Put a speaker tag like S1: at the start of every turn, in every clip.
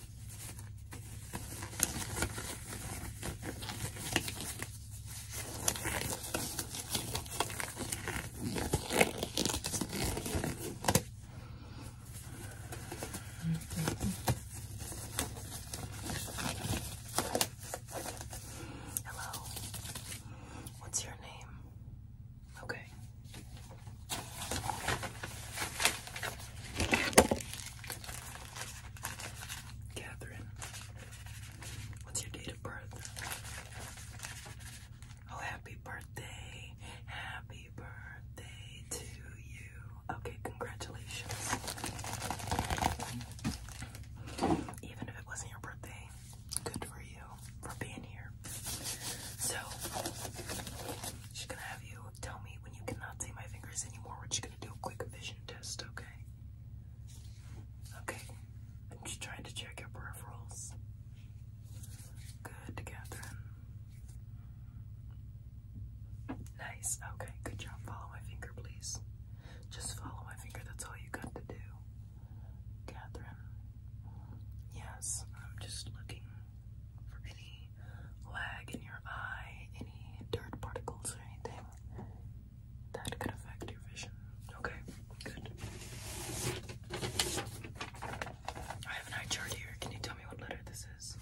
S1: Hello. What's your name? Okay. Catherine, what's your date of birth? Oh, happy birthday! Happy birthday to you. Okay, congratulations. Even if it wasn't your birthday, good for you for being here. So, she's gonna have you tell me when you cannot see my fingers anymore, we're just gonna do a quick vision test, okay? Okay, I'm just trying to check your peripherals. Good, Catherine. Nice, okay, good job. Follow my finger, please. Just follow my finger, that's all you got to do. Catherine. Yes, I'm just looking for any lag in your eye, any dirt particles or anything that could affect your vision. Okay, good. I have an eye chart here. Can you tell me what letter this is?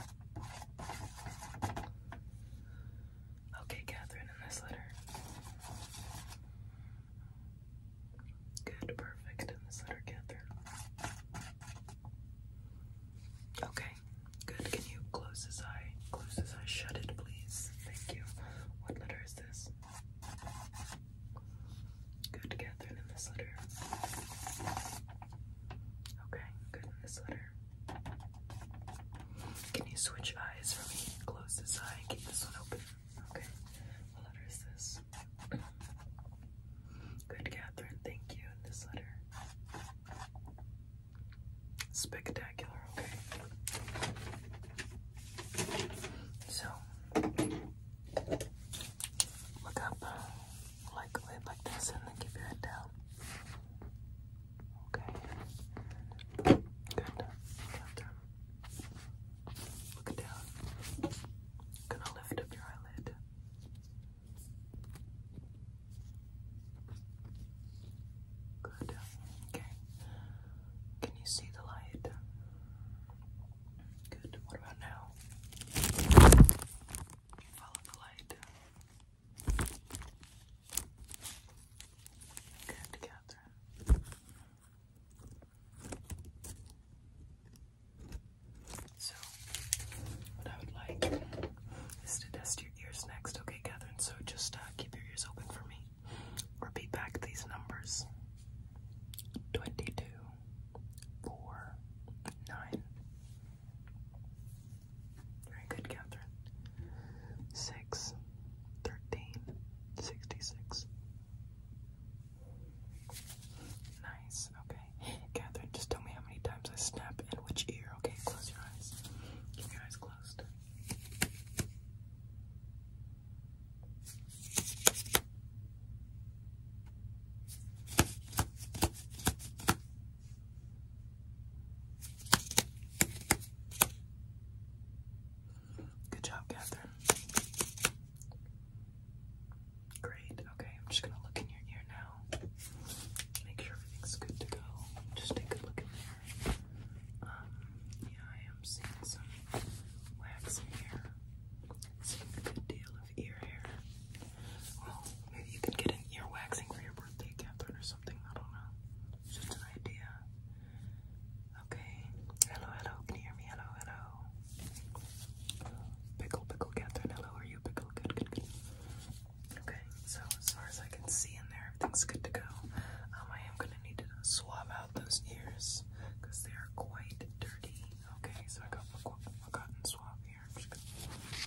S1: Okay, Catherine, in this letter. Good, perfect. And this letter gather. Okay, good. Can you close this eye? Close this eye. Shut it, please. Thank you. What letter is this? Good, Catherine, in this letter. Okay, good this letter. Can you switch eyes for me? Close this eye keep this one open. Okay, what letter is this? Good, Catherine. Thank you. this letter. Spectacular. Okay. So, look up, uh, like like this, and then keep your head down. Okay. Good. Catherine. Look down. gonna lift up your eyelid. Good. Okay. Can you see the light? Good. What about now? Follow the light. Good, Catherine. So, what I would like is to test your ears next, okay, Catherine? So just keep your ears open for me. Repeat back these numbers 22, very good, Catherine. Six, thirteen, sixty-six. Nice, okay. Catherine, just tell me how many times I snap and which ear, okay? Close your eyes. Keep your eyes closed. Good job, Catherine. Great. Okay, I'm just gonna look in your ear now. Make sure everything's good to go. Just take a look in there. Um, yeah, I am seeing some wax here. Seeing a good deal maybe you can get an ear waxing for your birthday, Catherine, or something. I don't know. just an idea. Okay. Hello, hello. Can you hear me? Hello, hello. Pickle, pickle, Catherine. Hello, are you pickle? Good, good, Okay, so as far as I can see in there, everything's good to go. Um, I am gonna need to swab out those ears because they are quite dirty. Okay, so I got my, cotton swab here here. I'm just gonna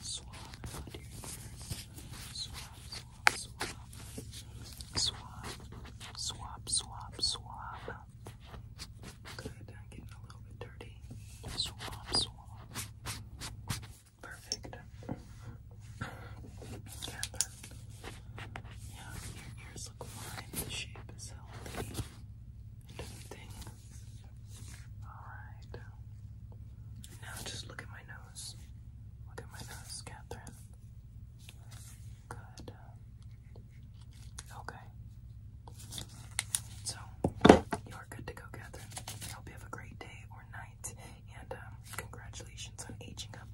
S1: swab onto your ears. Swab, swab, swab. Swab, swab, swab, swab. Good, I'm getting a little bit dirty. Swab, swab. Perfect. Yeah, but yeah, your ears look fine. The shape is healthy and everything. Alright. Now just look at my nose. Look at my nose, Catherine. Good. Okay. So, you're good to go, Catherine. hope you have a great day or night, and um, congratulations on aging up.